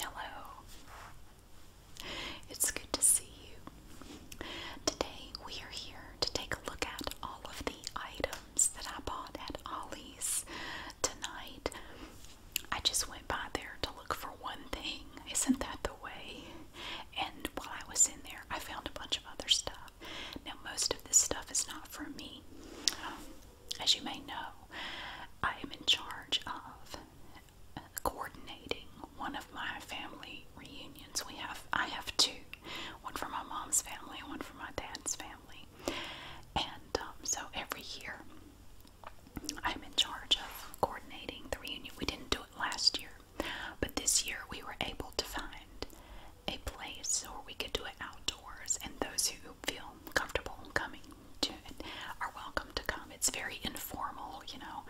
Hello. It's good to see you. Today we are here to take a look at all of the items that I bought at Ollie's tonight. I just went by there to look for one thing. Isn't that the way? And while I was in there, I found a bunch of other stuff. Now, most of this stuff is not for me. Um, as you may know, I am in charge of coordinating one of my family reunions. We have I have two, one for my mom's family and one for my dad's family. And um, so every year I'm in charge of coordinating the reunion. We didn't do it last year, but this year we were able to find a place where we could do it outdoors and those who feel comfortable coming to, are welcome to come. It's very informal, you know.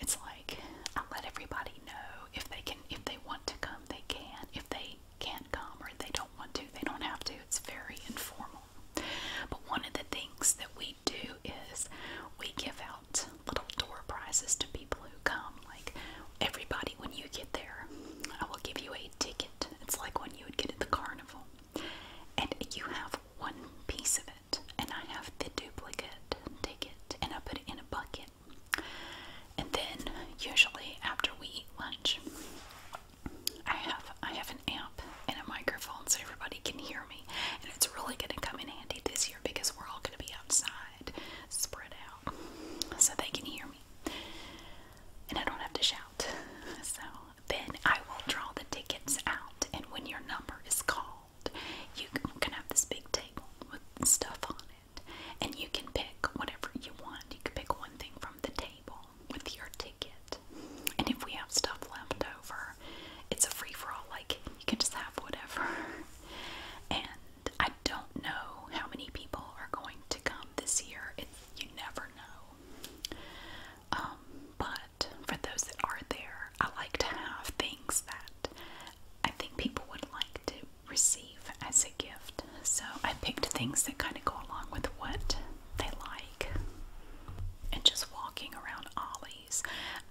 It's like I let everybody know if they can, if they want to come, they can. If they can't come or they don't want to, they don't have to. It's very informal. But one of the things that we do is we give out little door prizes to people who come. Like everybody, when you get there, I will give you a ticket. It's like when you would get at the carnival and you have one piece of it, and I have the duplicate. Take it, and I put it in a bucket. And then, usually after we eat lunch, I have I have an amp and a microphone so everybody can hear me, and it's really going to come in handy this year because we're all going to be outside, spread out, so they can hear me, and I don't have to shout. So then I will draw the tickets out, and when your number is called, you can have this big table with stuff on it, and you can pick whatever you want. You can pick one thing from the table with your ticket, and if we have stuff left over, it's a free for all. Like you can just have whatever. And I don't know how many people are going to come this year. It's, you never know. Um, but for those that are there, I like to have things that I think people would like to receive as a gift. So I picked things that kind of go along with what they like. And just walking around Ollie's,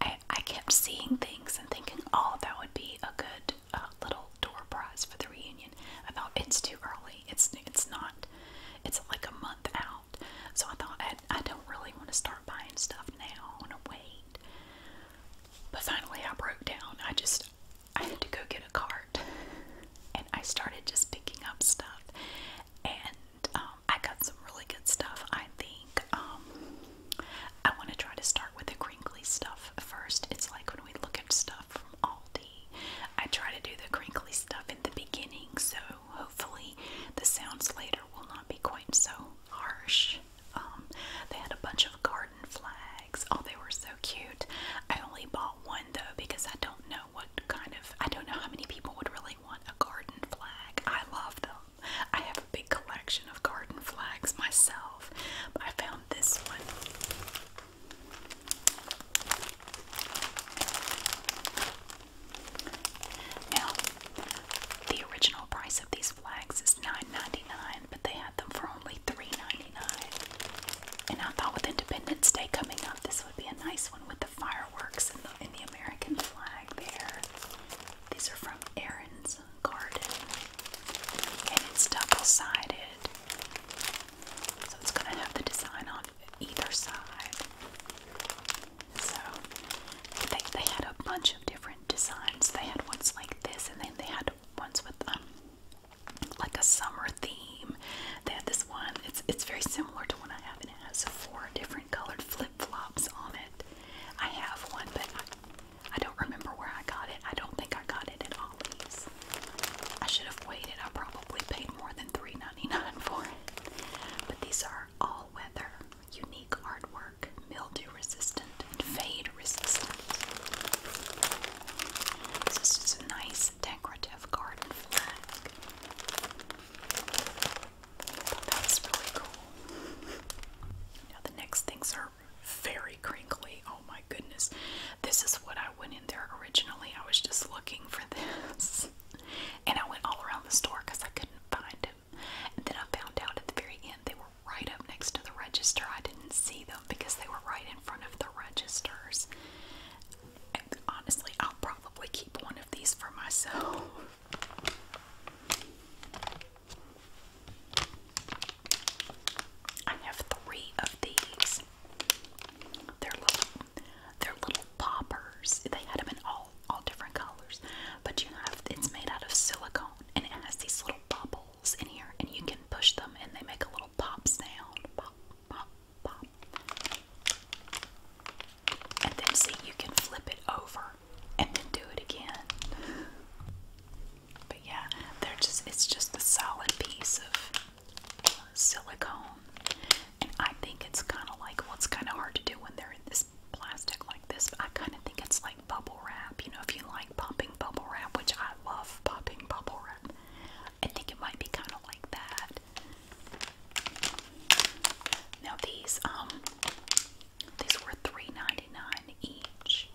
I, I kept seeing things and thinking, oh, that would be a good uh, little door prize for the reunion. I thought it's too early. It's it's not. It's like a month out so I thought, I, don't really want to start buying stuff now. I want to wait. But finally, I broke down. I just, I had to go get a cart. And I started just picking up stuff. And um, I got some really good stuff, I think. Um, I want to try to start with the crinkly stuff first. It's like when we look at stuff from Aldi, I try to do the crinkly stuff in the beginning so hopefully the sounds later will not be quite so harsh. Um, they had a bunch of garden flags. Oh, they were so cute. I only bought one though because I don't know what kind of, I don't know how many people would really want a garden flag. I love them. I have a big collection of garden flags myself, I found this one. Now, the original price of these flags is $9.99, but they had them for only $3.99. And I thought with Independence Day coming up, this would be a nice one with the fireworks and the, American flag there. These are from Erin's Garden, and it's double sided. So it's going to have the design on either side. So I think they had a bunch of different designs. They had ones like this, and then they had ones with um, like a summer theme. They had this one. It's it's very similar to one I have, and it has four different colored flip flops on it. I have one, but I, I don't remember where I got it. I don't think I got it at Ollie's. I should have waited. I probably paid more than $3.99 9 dollars But these are all weather, unique artwork, mildew resistant, fade resistant. this is a nice decorative garden flag. I really cool. Now the next things are very crinkly. Oh my goodness. This is what I went in there originally. I was just looking for this. And I went all around the store because I couldn't find them. And then I found out at the very end they were right up next to the register. I didn't see them because they were right in front of the registers. And honestly, I'll probably keep one of these for myself. I have three of these. They're little they're little poppers. They had them in all all different colors, but you have it's made out of silicone and it has these little bubbles in here, and you can push them and they make a little pop sound. Pop, pop, pop. And then see you can flip it over and then do it again. But yeah, they're just it's just a solid piece of silicone I think it's kind of like, well, it's kind of hard to do when they're in this plastic like this. But I kind of think it's like bubble wrap. You know, if you like popping bubble wrap, which I love popping bubble wrap, I think it might be kind of like that. Now these, um, these were three ninety nine each,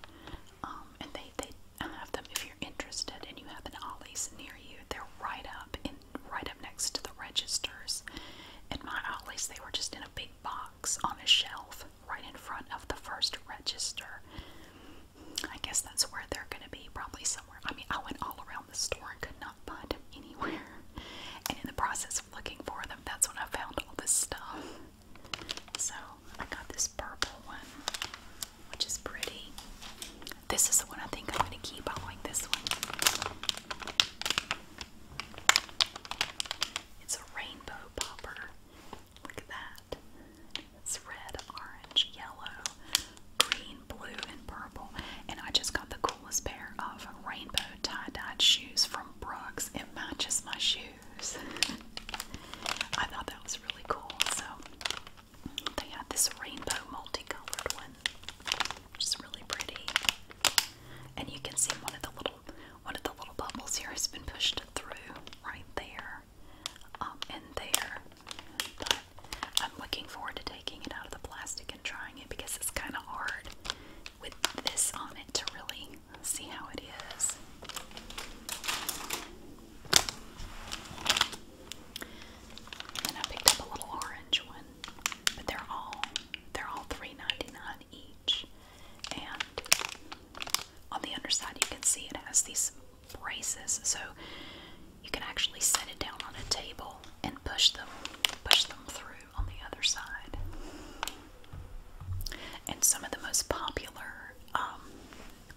um, and they they have them if you're interested and you have an Ollie's near you. They're right up in and right up next to the registers. At my Ollie's, they were just in a big box on a shelf right in front of the first register. I guess that's where they're going to be, probably somewhere. I mean, I went all around the store and could not find them anywhere. And in the process of looking for them, that's when I found all this stuff. So I got this purple one, which is pretty. This is the one I think I'm going to keep. I like this one. It's a rainbow popper. Look at that. It's red, orange, yellow, green, blue, and purple. And I just got the coolest pair of rainbow tie-dyed shoes from Brooks. It matches my shoes. I thought that was really cool. So they had this rainbow multicolored one. Just really pretty. And you can see one of the little one of the little bubbles here has been pushed through right there. Um, and there. I'm looking forward to taking it out of the plastic and trying it because it's kind of hard with this on it to really see how it is. And I picked up a little orange one. But they're all they're all 3 each. And on the underside you can see it has these braces so you can actually set it down on a table and push them push them through on the other side. And some of the most popular um,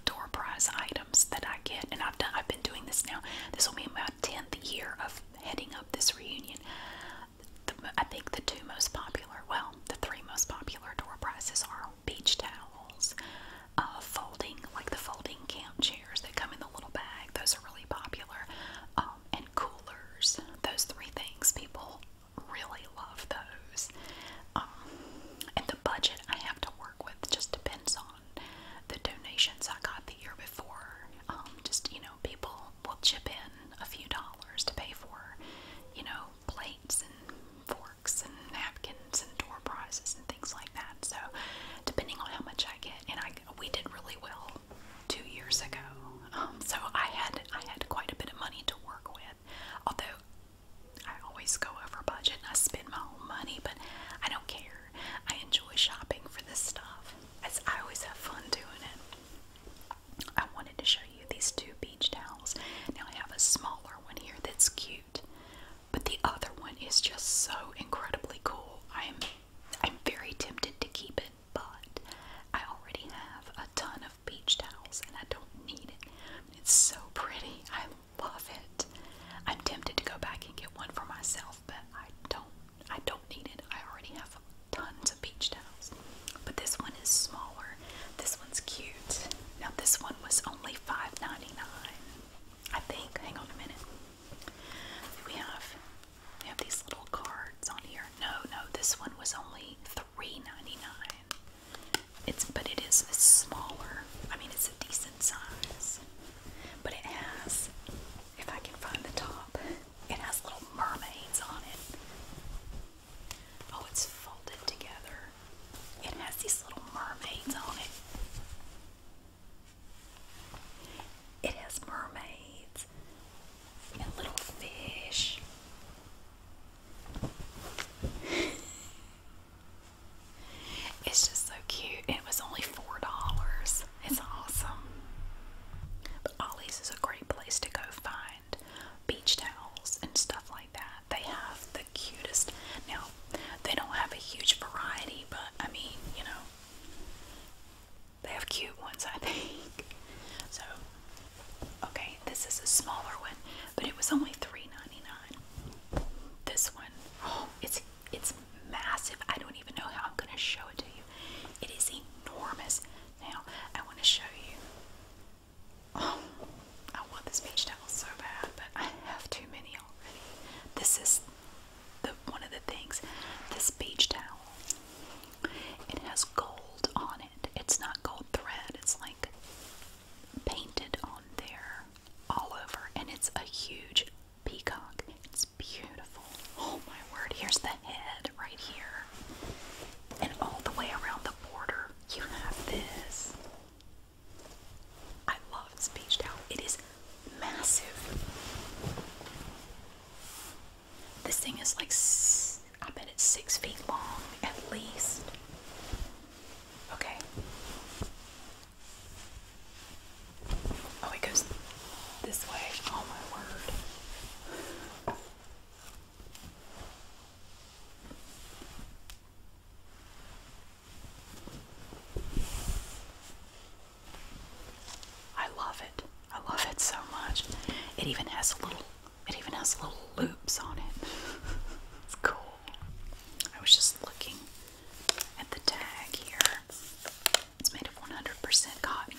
door prize items that I get, and I've done, I've been doing this now. This will be my 10th year of heading up this reunion. I think the two most popular, well, the three most popular door prizes are beach towels, uh, folding, like the folding camp chairs that come in the little bag. Those are really popular. Um, and coolers. Those three things. People really love those. Um, and the budget I have to work with just depends on the donations I got the year before. Um, just, you know, people will chip in a few dollars to pay for, you know, plates and forks and napkins and door prizes and things like that. So, depending on how much I get, and I we did really well two years ago. Um, so I had I had quite a bit of money to work with, although. I always go over budget and I spend my own money, but I don't care. I enjoy shopping for this stuff. I always have fun doing it. I wanted to show you these two beach towels. Now I have a smaller one here that's cute, but the other one is just so incredibly cool. I'm I'm very tempted to keep it, but I already have a ton of beach towels and I don't need it. It's so pretty. I love it. I'm tempted to go back and get one for myself but I don't I don't need it. I already have tons of beach towels. But this one is smaller. This one's cute. Now this one was only $5.99. I think. Hang on a minute. We have we have these little cards on here. No, no, this one was only $3.99. It's but it is smaller. I mean it's a decent size. But it has if I can find the top. It has little mermaids on it. Oh, it's folded together. It has these little mermaids on it. It has mermaids and little fish. it's just so cute. It was only $4. It's awesome. But Ollie's is a great place to go find beach towels and stuff like that. They have the cutest. Now, they don't have a huge variety, but I mean, you know, they have cute ones, I think. So, okay, this is a smaller one, but it was only $3.99. This one, oh, it's it's massive. I don't even know how I'm going to show it to you. It is enormous. Now, I want to show you. Oh, I want this beach towel so bad, but I have too many already. This is the one of the things. This beach towel. It has gold on it. It's not gold thread. It's like painted on there all over, and it's a huge peacock. It's beautiful. Oh my word, here's the head right here. And all the way around the border, you have this. I love this beach towel. It is massive. This thing is like, I bet it's six feet long at least. Okay. Oh, it goes this way. Oh, my word. I love it. I love it so much. It even has a little it even has little loops on it. it's cool. I was just looking at the tag here. It's made of 100% cotton.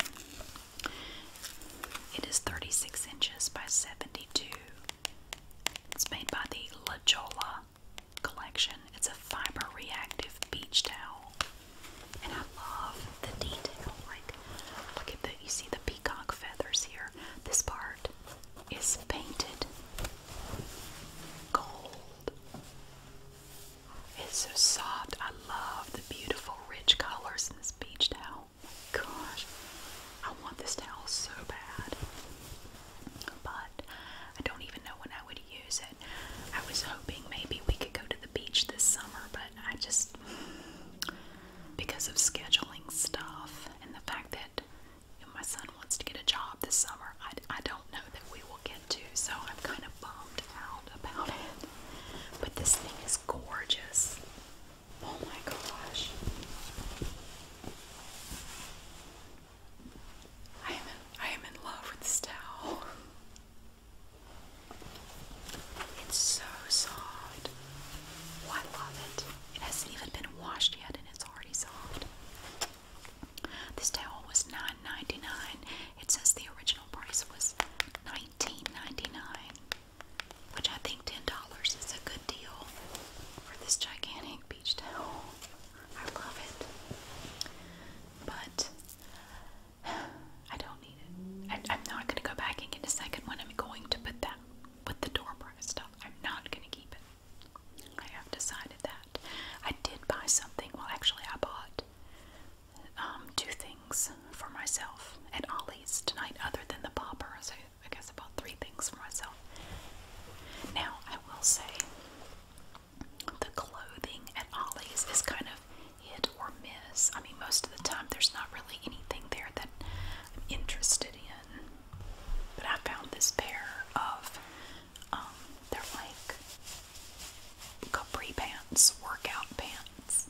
It is 36 inches by 72. It's made by the La Jolla collection. It's a fiber reactive beach towel. And I love the detail. Like, look at the, you see the peacock feathers here. This part is painted gold. It's so soft. I love the beautiful, rich colors in this beach towel. Gosh, I want this towel so bad. But I don't even know when I would use it. I was hoping maybe we could go to the beach this summer, but I just, because of scheduling stuff and the fact that you my son wants to get a job this summer, I, I don't know that we will get to, so I'm kind of bummed out about it. But this thing is gorgeous. Oh my gosh. I am I am in love with this towel. It's so soft. Oh, I love it. It hasn't even been washed yet and it's already soft. This towel was 9 it says the original price was $19.99, which I think $10 is a good deal for this gigantic beach towel. I love it. But I don't need it. I, am not going to go back and get a second one. I'm going to put that with the door prize stuff. I'm not going to keep it. I have decided that. I did buy something. Well, actually, I bought um, things for myself at Ollie's tonight, other than the popper. I guess about three things for myself. Now I will say, the clothing at Ollie's is kind of hit or miss. I mean, most of the time there's not really anything there that I'm interested in. But I found this pair of, um, they're like capri pants, workout pants.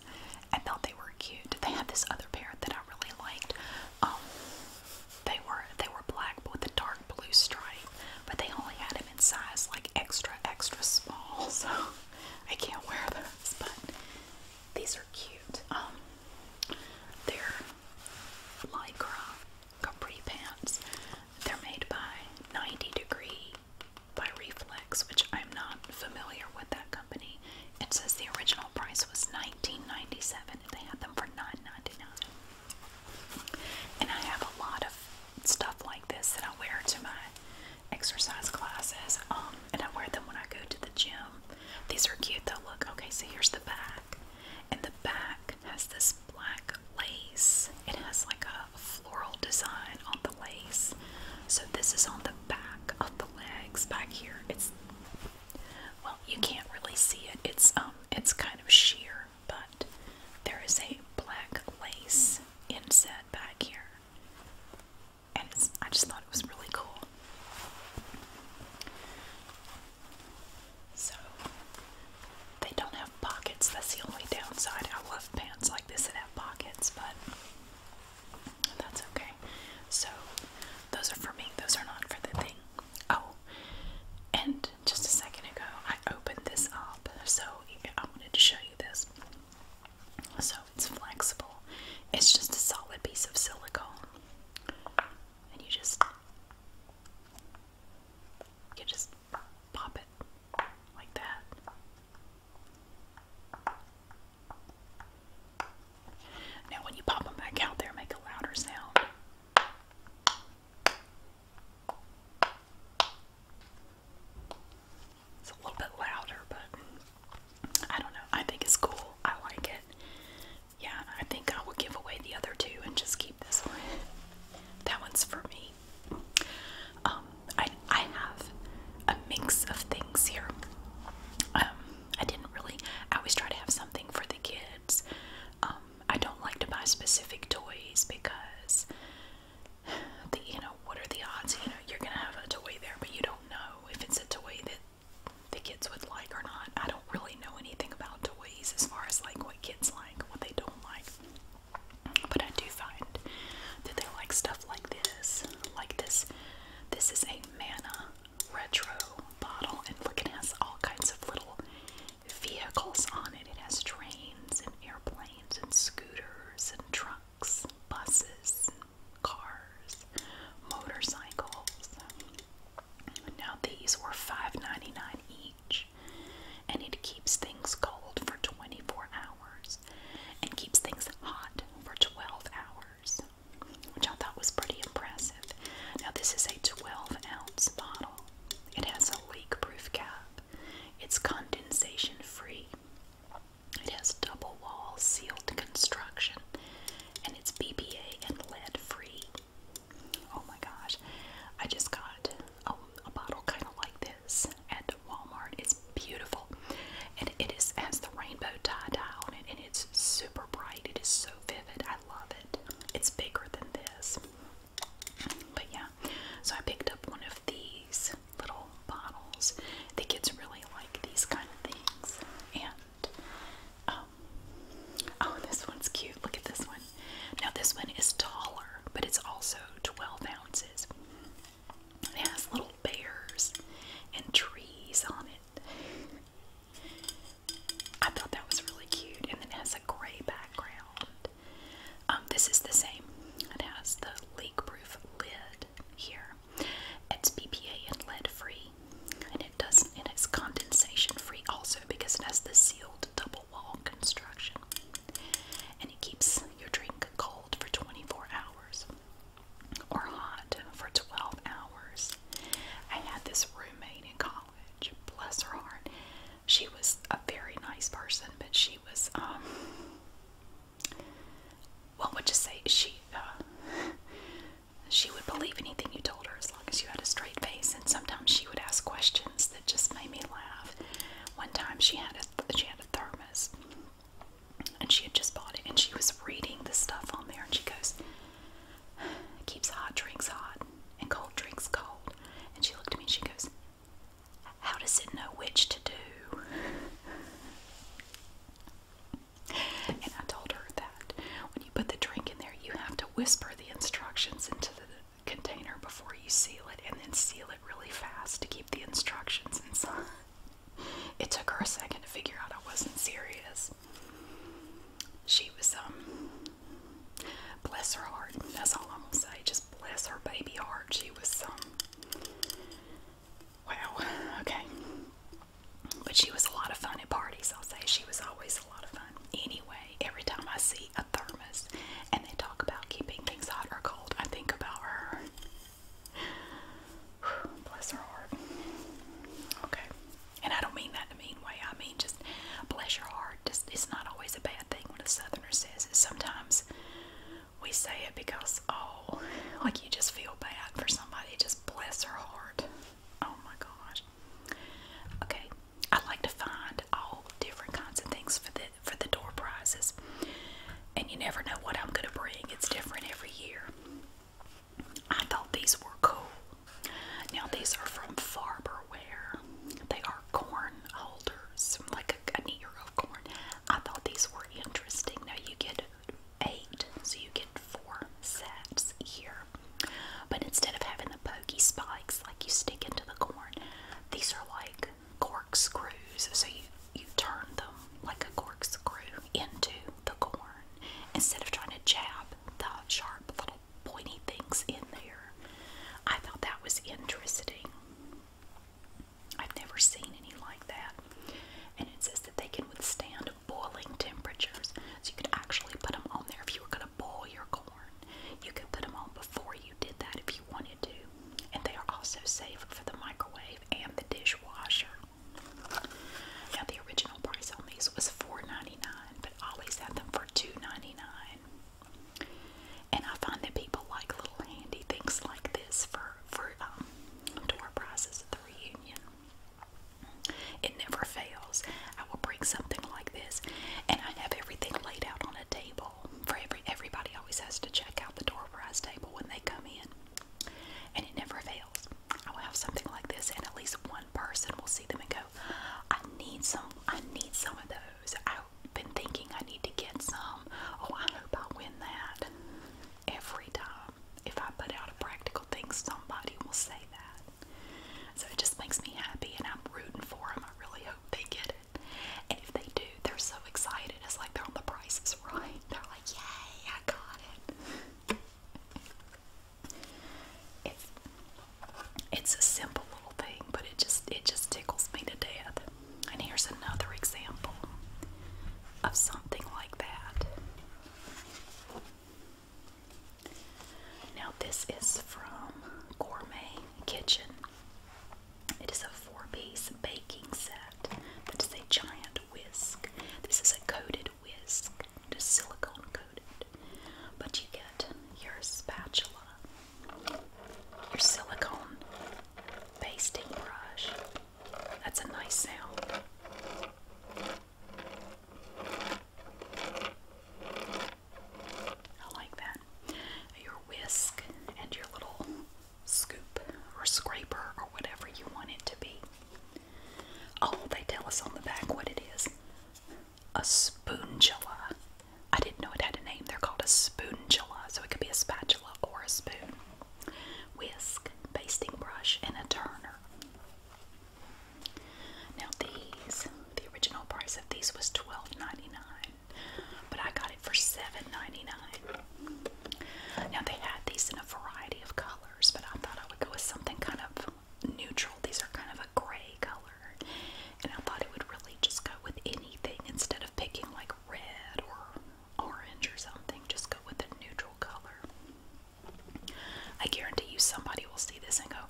I thought they were cute. They had this other pair that I really liked. Um, they were they were black with a dark blue stripe, but they only had them in size like extra extra small, so I can't wear those. But these are cute. Um, they're lycra capri pants. They're made by 90 Degree by Reflex, which I'm not familiar with that company. It says the original price was $19.97 and they had them for 9 And I have a lot of stuff like this that I wear to my exercise classes. Um, and I wear them when I go to the gym. These are cute though. Look, okay, so here's the back. And the back has this black lace. It has like a floral design on the lace. So this is on the back of the legs back here. It's well, you can't really see it. It's um it's kind of sheer, but there is a black lace inset back here. And it's, I just thought it was really cool. So they don't pockets. That's the only downside. I love pants like this that have pockets, but that's okay. So those are for me. Those are not for the thing. Oh, and just a second ago, I opened this up, so I wanted to show you this. So it's flexible. It's just a solid piece of silicone, and you just you just pop it like that now, when you pop them back out there, make a louder sound. It's a little bit louder, but I don't know. I think it's cool. I like it. Yeah, I think I will give away the other two and just keep this one. That one's for me. Um, I, I have a mix of things here. Um, I didn't really, I always try to have something for the kids. Um, I don't like to buy specific toys because, the, you know, what are the odds? You know, you're going to have a toy there, but you don't know if it's a toy that the kids would like or not. I don't really know anything about toys as far as like what kids like, what they don't like. But I do find that they like stuff like this. Like this. This is a Mana retro bottle, and look, it has all kinds of little vehicles on it. It has trains and airplanes and scooters and trucks, buses, cars, motorcycles. Now these were $5.99 each, and it keeps things cold for 24 and keeps things hot for 12 hours, which I thought was pretty impressive. Now, this is a 12 ounce bottle, it has a leak proof cap, it's condensation free, it has double wall sealed construction, and it's BPA and lead free. Oh my gosh, I just got a, bottle kind of like this at Walmart. It's beautiful, and it is has the rainbow tie dye on it, and it's super bright. It is so vivid. I love it. It's bigger than this, but yeah. So I picked up one of these little bottles. The kids really like these kind of things, and um, oh, this one's cute. Look at this one. Now this one is taller, but it's also 12 ounces. It has little bears and trees on it. I thought that was really cute, and it has a gray background. Um, this is the same. It has the leak-proof lid here. It's BPA and lead-free, and it doesn't. And it's condensation-free also because it has the sealed double wall construction, and it keeps your drink drunk cold for 24 hours or hot for 12 hours. I had this roommate in college, bless her heart. She was a very nice person, but she was, um, what would you say? She, uh, she would believe anything you told her as long as you had a straight face, and sometimes she would ask questions that just made me laugh. One time she had a she had had a thermos and she had just bought it and she was reading the stuff on there and she goes keeps hot drinks hot and cold drinks cold and she looked at me and she goes how does it know which to do and i told her that when you put the drink in there you have to whisper the instructions into the container before you seal it and then seal it really fast to keep the instructions inside. It took her a second to figure out I wasn't serious. She was, um, bless her heart. That's all I'm gonna say. Just bless her baby heart. She was, um, wow, okay. But she was a lot of fun at parties, I'll say. She was always a lot of fun. Anyway, every time I see a third and they talk about keeping things hot or cold. I think about her. bless her heart. Okay. And I don't mean that in a mean way. I mean just bless her heart. it's not always a bad thing when a southerner says it. Sometimes we say it because oh like you just feel bad for somebody. Just bless her heart. Oh my gosh. Okay. I like to find all different kinds of things for this for the door prizes. And you never know what I'm going to bring. It's different every year. I thought these were cool. Now these are from Farberware. They are corn holders, like a, an ear of corn. I thought these were interesting. Now you get eight, so you get four sets here. But instead of having the pokey spikes like you stick into the corn, these are like corkscrews, so you you turn them like a corkscrew into the corn instead of trying to jab the sharp little pointy things in there. I thought that was interesting. I've never seen any like that. And it says that they can withstand boiling temperatures. So you could actually put them on there if you were going to boil your corn. You could put them on before you did that if you wanted to and they are also safe for the microwave and the dishwasher. Now the original price on these was 4 but always had them for 2 And I find that people like little handy things like this for for um, door prizes at the reunion. It never fails. I will bring something like this, and I have everything laid out on a table wall for every everybody always has to check out the door prize table when they come in. And it never fails. I will have something like this and at least one person will see them and go, I need some I need some of those. I've been thinking I need to get some. Oh I hope I win that. Every time. If I put out a practical thing, somebody will say that. So it just makes me happy and I'm rooting for them. I really hope they get it. And if they do, they're so excited. It's like they're on the prices right. They're like, yay, I got it. It's it's a simple little thing, but it just it just tickles me to death. And here's another example of something like that. Now this is from Gourmet Kitchen. It is a four-piece baking set that is a giant whisk. This is a coated whisk, just silicone coated. But you get your spatula, your silicone basting brush. That's a nice sound. I like that. Your whisk and your little scoop or scraper or whatever you want it to be. Oh, they tell us on the back what it is. A spoongula. I didn't know it had a name. They're called a spoongula, so it could be a spatula or a spoon. Whisk, basting brush, and a turner. Now these, the original price of these was $12.99 but I got it for $7.99. Now they had these in a variety of colors, but I thought I would go with something kind of neutral. These are kind of a gray color, and I thought it would really just go with anything instead of picking like red or orange or something. Just go with a neutral color. I guarantee you somebody will see this and go,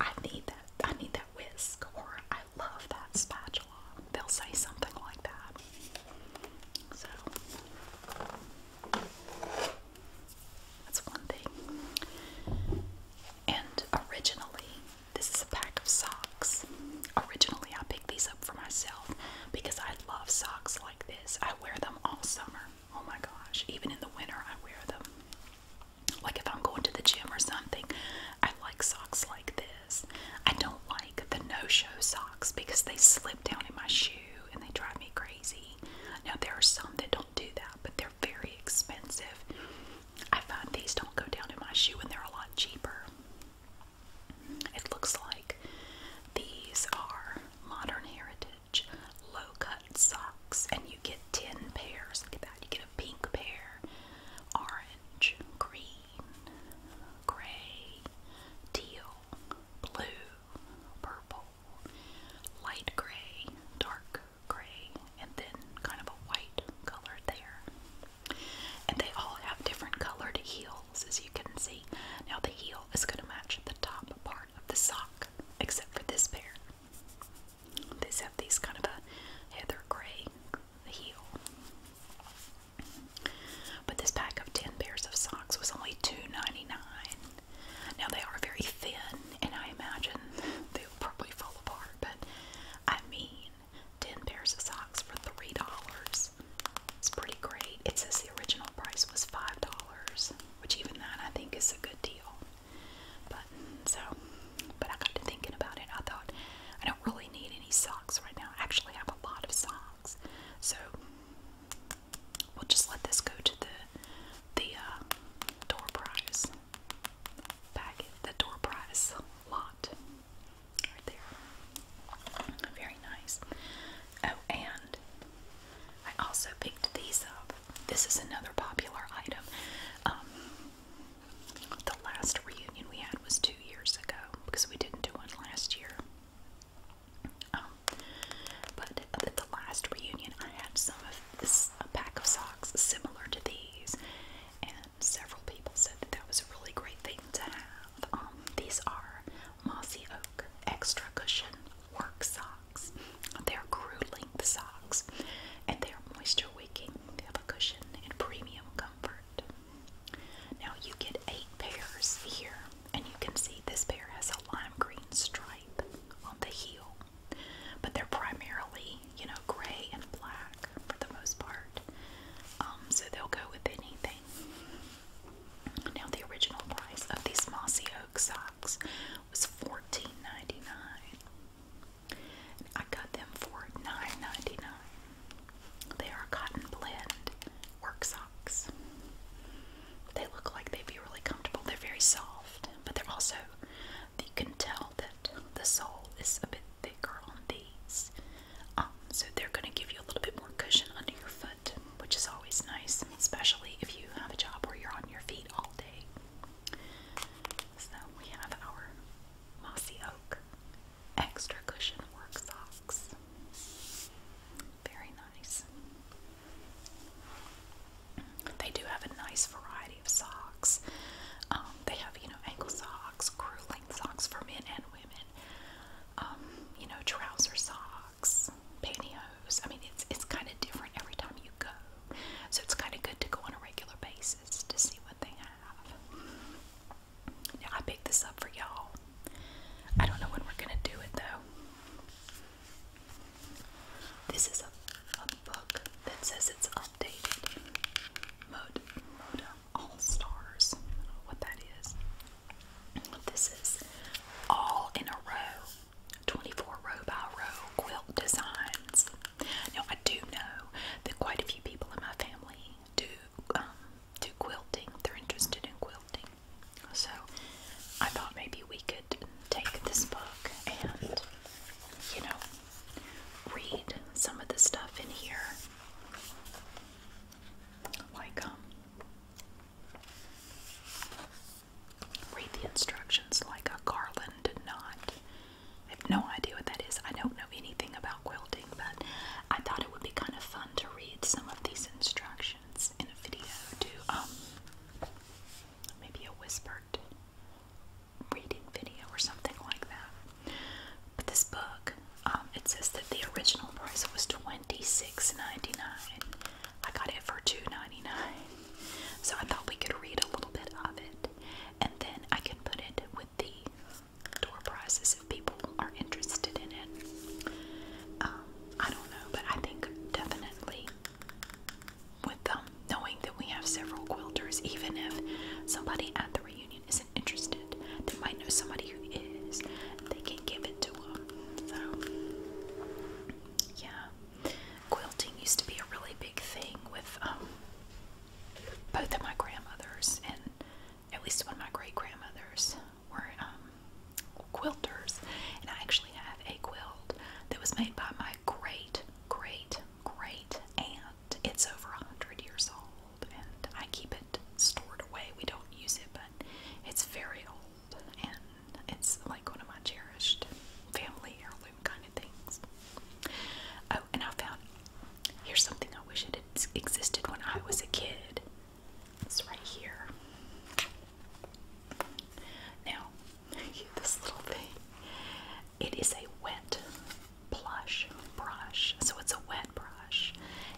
I need that. I need that whisk, or I love that spatula. They'll say something like that. So that's one thing. And originally, this is a pack of socks. Originally, I picked these up for myself because I love socks like this. I wear them all summer. Oh my gosh, even in the winter, I wear them. Like if I'm going to the gym or something, I like socks like this. I don't like the no-show socks because they slip down in my shoe and they drive me crazy. Now there are some that don't do that, but they're very expensive. I find these don't go down in my shoe and they're a lot cheaper. It looks like these are Modern Heritage low-cut socks and you get 10 pairs. Look at that. You get a pink pair, orange, green, gray, teal, blue, purple, light gray, dark gray, and then kind of a white color there. And they all have different colored heels, as you can see. Now, the heel is going to match the top part of the sock, except for this pair. These have these kind of a heather gray heel. But this pack of 10 pairs of socks was only $2.99. Now they are very thin, and I imagine they'll probably fall apart, but I mean, 10 pairs of socks for $3. It's pretty great. It says the original price was $5, which even that I think is a good deal. But so, but I got to thinking about it. I thought I don't really need socks right now. actually have a lot of socks. So we'll just let this go to the the uh, door prize packet, the door prize lot right there. Very nice. Oh, and I also picked these up. This is another popular item. Um, the last reunion we had was two years ago because we didn't do one last year. Um, but at the last reunion, I had some of this a pack of socks similar to these, and several people said that that was a really great thing to have. Um, these are Mossy Oak Extra Cushion Work Socks. They're crew length socks, and they're moisture wicking. They have a cushion and premium comfort. Now you get eight pairs here, and you can see this pair has a lime green stripe on the heel, but they're primarily, you know, gray and black for the most part. Um, so they'll go with anything. Now the original price of these mossy oak socks was 14 I got them for $9.99. They are a cotton blend work socks. They look like they'd be really comfortable. They're very soft, but they're also, you can tell that the sole is a bit thicker on these. Um, so they're going to give you a little bit more cushion under your foot, which is always nice, especially if you have a job where you're on your feet all day. So we have our mossy oak, extra cushion work socks. Very nice. They do have a nice variety of socks. Um, they have, you know, ankle socks, crew length socks for men and women. Um, you know, trouser socks, pantyhose. I mean, it's it's kind of different every time you go, so it's kind of good to go on a regular basis to see what they have. Now I picked this up for y'all. I don't know when we're gonna do it though. This is a, book that says it's updated. Mode, Modem All Stars. I don't know what that is. This is all in a row. 24 row by row quilt designs. Now I do know that quite a few people in my family do um, to quilting. They're interested in quilting. So I thought maybe we could take this book and, you know, read some of the stuff in here. Like, um, read the instructions like a garland knot. I have no idea what that is. I don't know anything about quilting but I thought it would be kind of fun to read some of these instructions in a video to um, maybe a whispered reading video or something like that. But this book, um, it says that the original price was $26.99. I got it for $2.99. So I thought we could read a little bit of it and then I can put it with the door prizes if people are interested in it. Um, I don't know, but I think definitely with them um, knowing that we have several quilters, even if somebody at the reunion isn't interested, they might know somebody who is. They can give it to them. So, yeah, quilting used to be a really big thing with um, both of my grandmothers and at least one of my great grandmothers were um, quilters, and I actually have a quilt that was made by my great, great, great aunt. It's over a hundred years old, and I keep it stored away. We don't use it, but it's very old, and it's like one of my cherished family heirloom kind of things. Oh, and I found here's something I wish I that existed when I was a kid. It's right here. Now, this little thing. It is a wet plush brush. So it's a wet brush.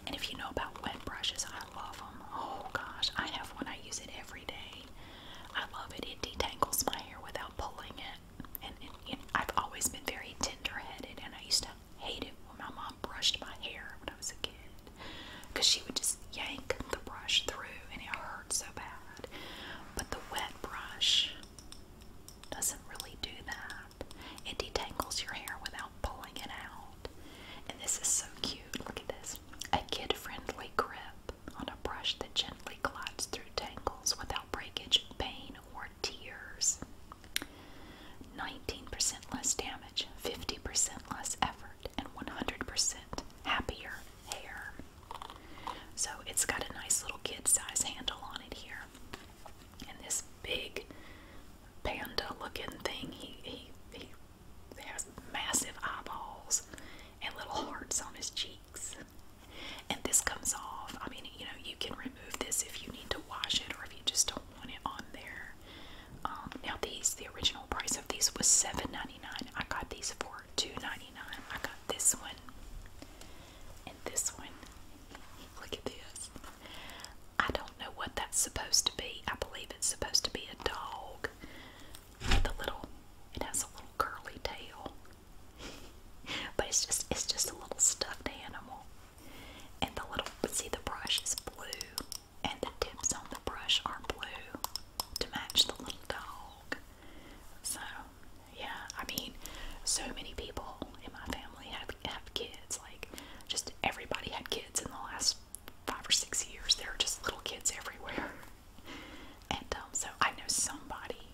And if you know about wet brushes, I love them. Oh gosh, I have one. I use it every day. I love it. It detangles my hair without pulling it. And, I've always been very tender headed, and I used to hated when my mom brushed my hair when I was a kid because she would just yank the brush through and it hurt so bad. But the wet brush doesn't really do that. It detangles your hair without pulling it out. And this is so cute. Look at this. A kid-friendly grip on a brush that gently glides through tangles without breakage, pain, or tears. 19% less damage, 50% less effort, and 100% happier hair. So it's got a nice little kid size handle on it here. And this big panda looking thing, he, he, he has massive eyeballs and little hearts on his cheeks. And this comes off. I mean, you know, you can remove this if you need to wash it or if you just don't want it on there. Um, now these, the original price of these was $7.99. I got these for $2.99. I got this one and this one. Look at this. I don't know what that's supposed to be. I believe it's supposed to be a dog. The little, it has a little curly tail, but it's just, it's just a little stuffed animal. And the little, see the brush is blue, and the tips on the brush are blue to match the little dog. So, yeah, I mean, so many people in my family have, have kids. Like, just everybody had kids in the last five or six years. There are just little kids everywhere. And um, so I know somebody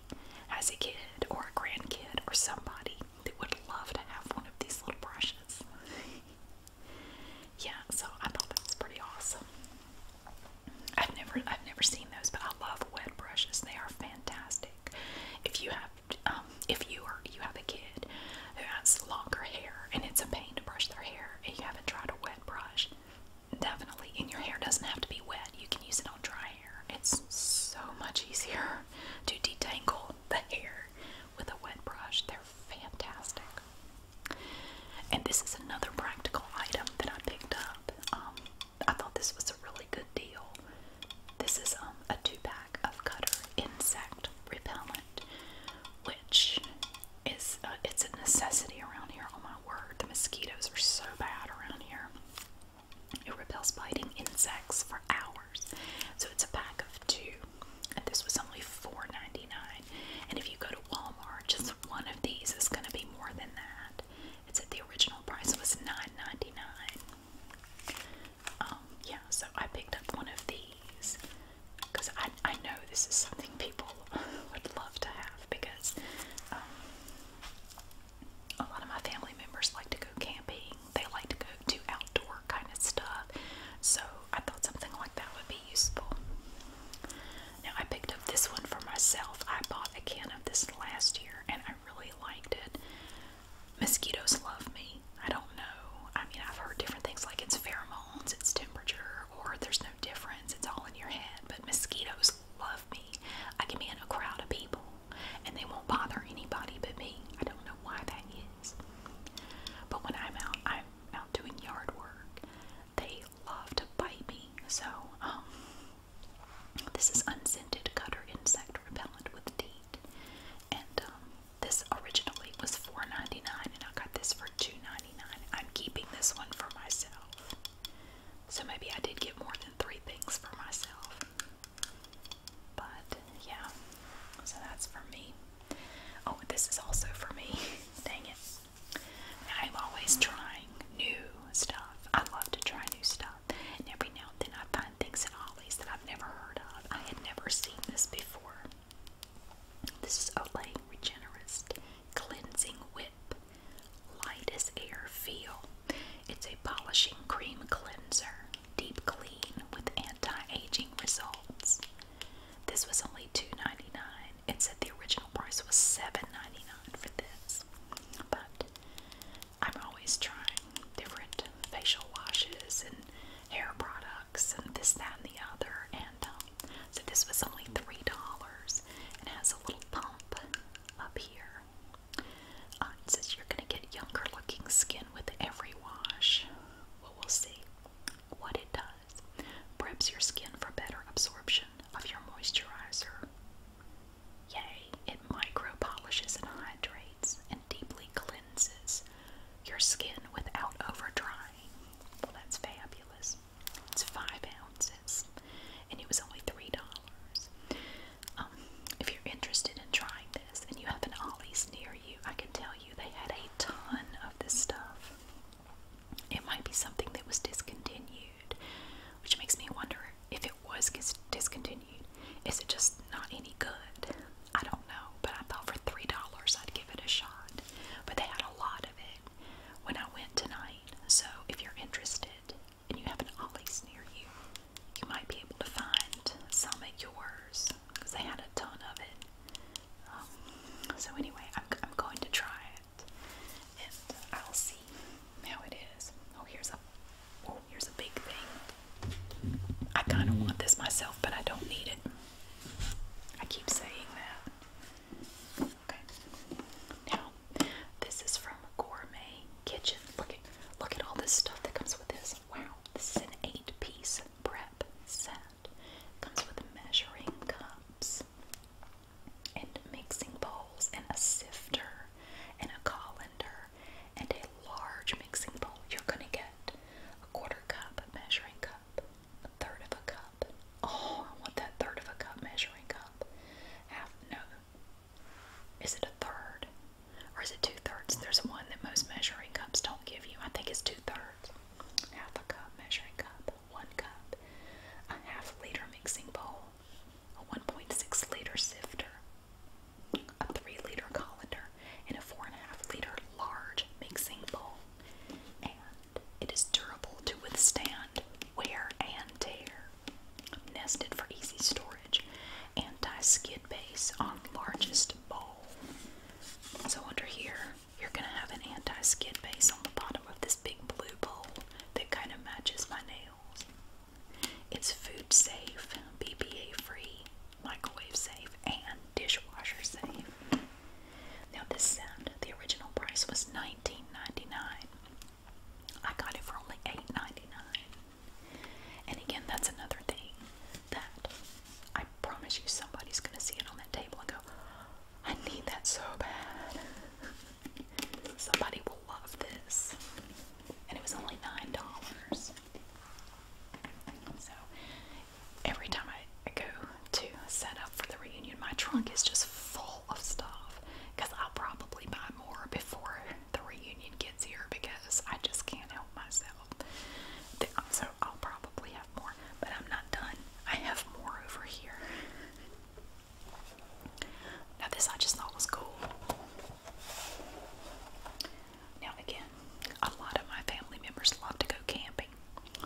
has a kid or a grandkid or somebody they would love to have one of these little brushes. yeah, so I thought that was pretty awesome. I've never I've never seen those, but I love wet brushes. They are fantastic. If you have um, if you are you have a kid who has longer hair and it's a pain to brush their hair and you haven't tried a wet brush, definitely. And your hair doesn't have to be wet. You can use it on dry hair. It's so much easier to detangle the hair with a wet brush. They're fantastic. And this is another practical item that I picked up. Um, I thought this was a really good deal. This is um, a two pack of Cutter insect repellent, which is uh, it's a necessity around here. Oh my word, the mosquitoes are so bad around here. It repels biting insects for hours. So it's a pack of two. And this was only $4.99. And if you go to Walmart, just one of these is going to be more than that. It's at the original price, was $9.99. Um, yeah, so I picked up one of these because I, I know this is something people would love to have because um, a lot of my family members like to go go camping, they like to go do outdoor kind of stuff. So I thought something like that would be useful. Now I picked up this one for myself. I bought a can of this last year and I really liked it. Mosquitoes love me. I don't know. I mean, I've heard different things like it's pheromones, it's temperature, or there's no difference. It's all in your head. But mosquitoes love me. I can be in a crowd of people and they won't bother anybody but me. I don't know why that is. But when I'm out, I'm out doing yard work. They love to bite me. So, um, this is unscented cutter insect repellent with DEET. And um, this originally was $4.99 and I got this for $2.99. I'm keeping this one for myself. So maybe I did get more than three things for myself. But yeah, so that's for me. Oh, this is also for me. Dang it. I'm always trying new stuff. I love to try new stuff. And every now and then I find things at Ollie's that I've never heard of. I had never seen this before. This is Olay Regenerist Cleansing Whip Light as Air Feel. It's a polishing cream cleanser deep clean with anti-aging results. This was only $2.99. It said the original price was $7.99 for this. But I'm always trying different facial washes and hair products and this, that, and the other. And um, so this was only $3. It has a little pump up here. Uh, it says you're going to get younger looking skin with every wash. Well, we'll see what it does. Preps your skin for better absorption of your moisturizer. Yay, it micro polishes and hydrates and deeply cleanses your skin without over drying. Well, that's fabulous. It's five ounces and it was only three dollars. Um, if you're interested in trying this and you have an Ollie's near you, I can tell you they had a ton of this stuff. It might be something that was discontinued, which makes me wonder if it was discontinued. Is it just not any good? I don't know, but I thought for $3 I'd give it a shot. But they had a lot of it when I went tonight, so if you're interested and you have an Ollie's near you, you might be able to find some at yours because I had a ton of it. Um, so anyway, I'm, I'm going to try it, and I'll see how it is. Oh, here's a oh, here's a big thing. I kind of want this myself, but I don't need it. I keep saying that. Okay. Now, this is from Gourmet Kitchen. Look at look at all this stuff that comes with this. Wow, this is an eight piece prep set. Comes with measuring cups and mixing bowls and a sifter and a colander and a large mixing bowl. You're gonna get a quarter cup measuring cup, a third of a cup. Oh, I want that third of a cup measuring cup. Half no. Is it a third? Or is it two thirds? There's one that most measuring cups don't give you. I think it's two thirds. Half a cup measuring cup, one cup, a half liter mixing bowl, a 1.6 liter sifter, a 3 liter colander, and a 4.5 liter large mixing bowl. And it is durable to withstand wear and tear. Nested for easy storage anti-skid base on largest bowl. So under here, you're going to have an anti-skid base on the bottom of this big blue bowl that kind of matches my nails. It's food safe, BPA free, microwave safe, and dishwasher safe. Now this set, the original price was $19.99. I got it for only $8.99. And again, that's another thing that I promise you somebody's going to see it on that table and go, I need that so bad. Somebody will love this. And it was only $9. So every time I, I go to set up for the reunion, my trunk is just full of stuff because I'll probably buy more before the reunion gets here because I just can't help myself. So I'll probably have more, but I'm not done. I have more over here. Now this I just thought was cool. Now again, a lot of my family members love to go camping.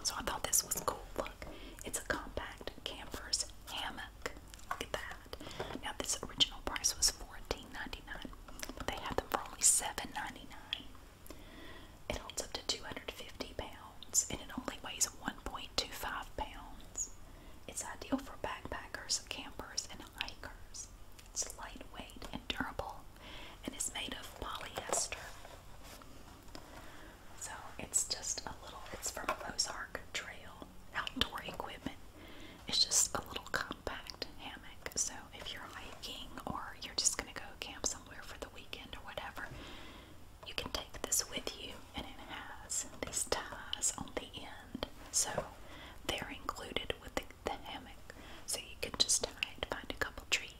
So I thought this was cool. Look, it's a compact camper's hammock. Look at that. Now this original price was $14.99, they had them for only 7 It holds up to 250 pounds and it only weighs 1.25 pounds. It's ideal for backpackers, campers, and hikers. It's lightweight and durable and it's made of polyester. So it's just a little, it's from Ozark Trail Outdoor Equipment. It's just a little compact hammock. So if you're hiking or you're just going to go camp somewhere for the weekend or whatever, you can take this with you. And it has these ties on the end. So they're included with the, hammock. So you can just tie it, find a couple trees,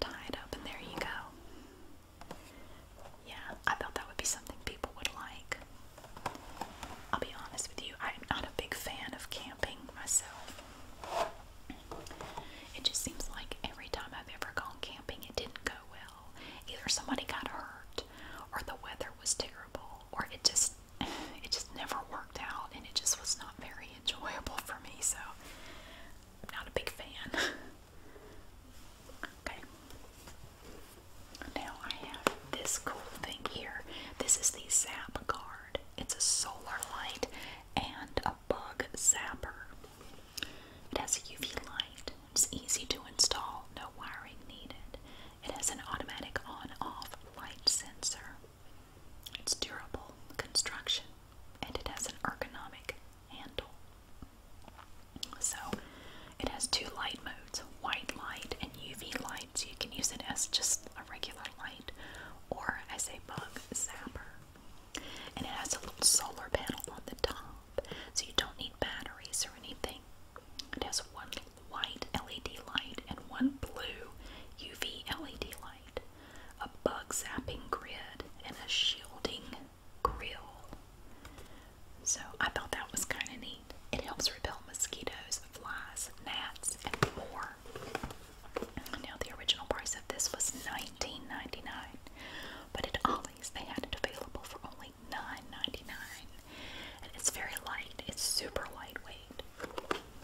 tie it up, and there you go. Yeah, I thought that would be something people would like. I'll be honest with you, I'm not a big fan of camping myself. It just seems like every time I've ever gone camping, it didn't go well. Either somebody got hurt, or the weather was terrible, or it just it just never worked out, and it just was not very enjoyable for me. So, not a big fan. okay. Now I have this cool thing here. This is the Zap it's a solar light and a bug zapper. It has a UV light. It's easy to install, no wiring needed. It has an automatic on-off light sensor. It's durable construction and it has an ergonomic handle. So it has two light modes, white light and UV light so you can use it as just a regular light or as a bug zapper. And it has a little solar panel on the top, so you don't need batteries or anything. It has one white LED light and one blue UV LED light, a bug zapping grid, and a shielding grill. So I thought that was kind of neat. It helps repel mosquitoes, flies, gnats, and more. Now the original price of this was $19.99, but at Ollie's they had it available for only $9.99. And it's very light, it's super lightweight.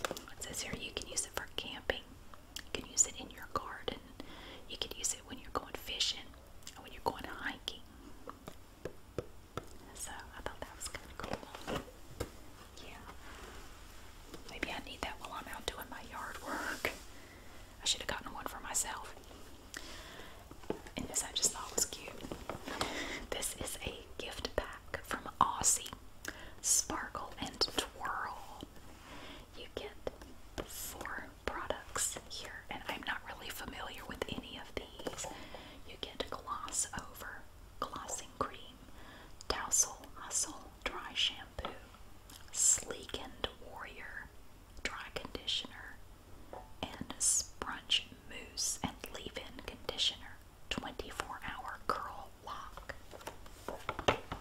It says here you can use it for camping, you can use it in your garden, you can use it when you're going fishing, and when you're going hiking. So I thought that was kind of cool. Yeah. Maybe I need that while I'm out doing my yard work. I should have gotten one for myself. this I just thought was cute. This is a gift pack from Aussie. Sparkle and twirl. You get four products here, and I'm not really familiar with any of these. You get gloss over glossing cream, cream, Dowsel Hustle Dry Shampoo, Sleekened Warrior Dry Conditioner, and Sprunch Mousse and Leave In Conditioner 24 Hour Curl Lock.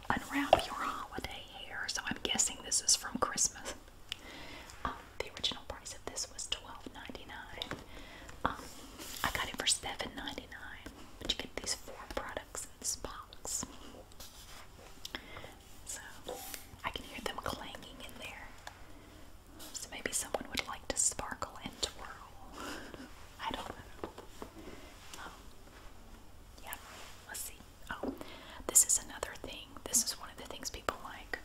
Unwrap your holiday hair. So I'm guessing this is from Christmas. Um, the original price of this was $12.99. Um, I got it for $7.99 time. you get these four products in this box. So I can hear them clanging in there. So maybe someone would like to sparkle and twirl. I don't know. Um, yeah, let's see. Oh, this is another thing. This is one of the things people like.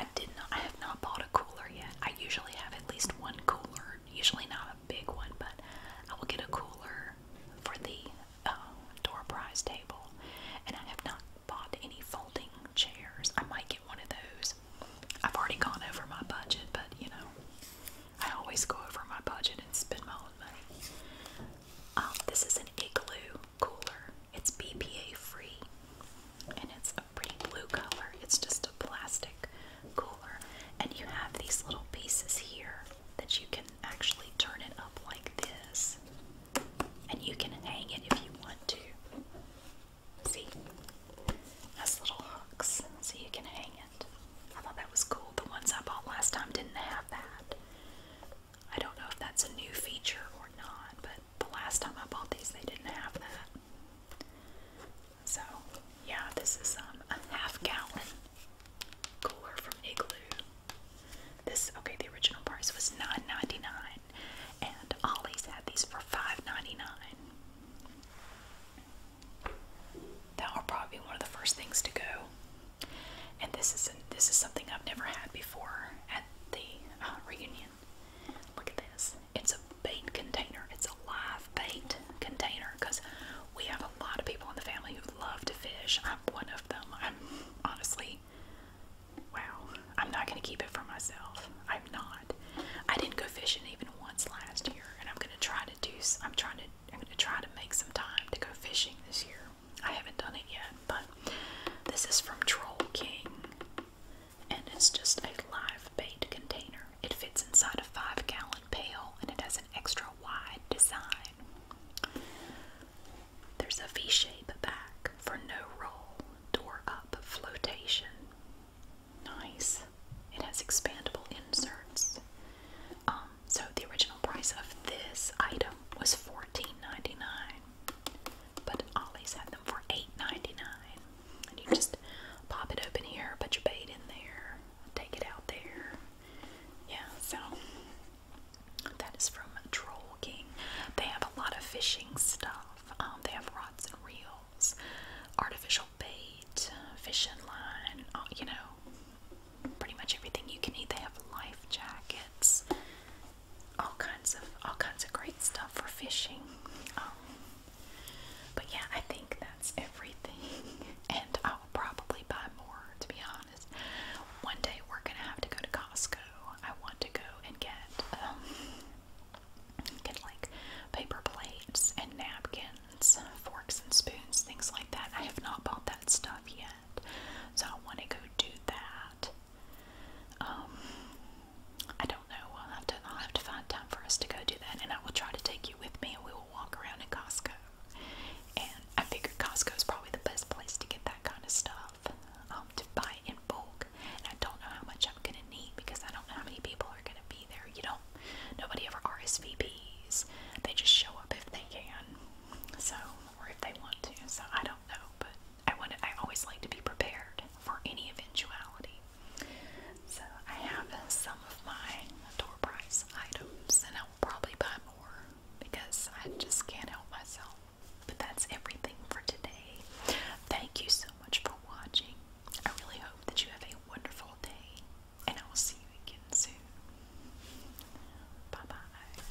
I did not. I have not bought a cooler yet. I usually have at least one cooler Usually not a big one, but I will get a cooler for the um, door prize table. And I have not bought any folding chairs. I might get one of those. I've already gone over my budget, but you know, I always go over my budget and spend my own money. Um, this is an igloo cooler. It's BPA free, and it's pretty blue color. It's just a plastic cooler. And you have these little pieces here that you can actually turn it up like this. And you can hang it if you want to. See? Has little hooks so you can hang it. I thought that was cool. The ones I bought last time didn't have that. I don't know if that's a new feature or not, but the last time I bought these, they didn't have that. So, yeah, this is um, a half gallon cooler from Igloo. This okay, the original price was $9.99, and Ollie's had these for $5.99. That were probably one of the first things to go. And this is this is something I've never had before at the uh, reunion. Look at this it's a bait container. It's a live bait container because we have a lot of people in the family who love to fish. I'm one of them. I'm honestly, wow. I'm not going to keep it for myself. I'm not. I didn't go fishing even once last year, and I'm going to try to do. I'm trying to. I'm going to try to make some time to go fishing this year. I haven't done it yet, but this is from Troll King and it's just a live bait container. It fits inside a five gallon pail and it has an extra wide design. There's a V shape back for no roll, door up flotation. Nice. It has expandable inserts. Um, so the original price of this item was $14.99, but Ollie's had them for $8.99. And you just pop it open here, put your bait in there, take it out there. Yeah, so that is from Troll King. They have a lot of fishing stuff. Um, they have rods and reels, artificial bait, fishing line, uh, you know, pretty much everything you can eat. They have life jackets, all kinds of all kinds of great stuff for fishing. Um, but yeah, I think that's everything. And I will probably buy more, to be honest. One day we're going to have to go to Costco. I want to go and get, um, get like paper plates and napkins, forks and spoons, things like that. I have not bought that stuff yet. So I want to go do that. Um, I don't don't know. I'll have to I'll have to find time for us to go do that, and I will try to take you with me, and we will walk around in Costco. And I figured Costco is probably the best place to get that kind of stuff um, to buy in bulk. And I don't know how much I'm gonna need because I don't know how many people are gonna be there. You don't. Nobody ever RSVPs. They just show up if they can. So or if they want to. So I don't know, but I want. I always like to be prepared for any eventuality. So I have some of my door price items and I will probably buy more because I just can't help myself. But that's everything for today. Thank you so much for watching. I really hope that you have a wonderful day and I will see you again soon. Bye bye.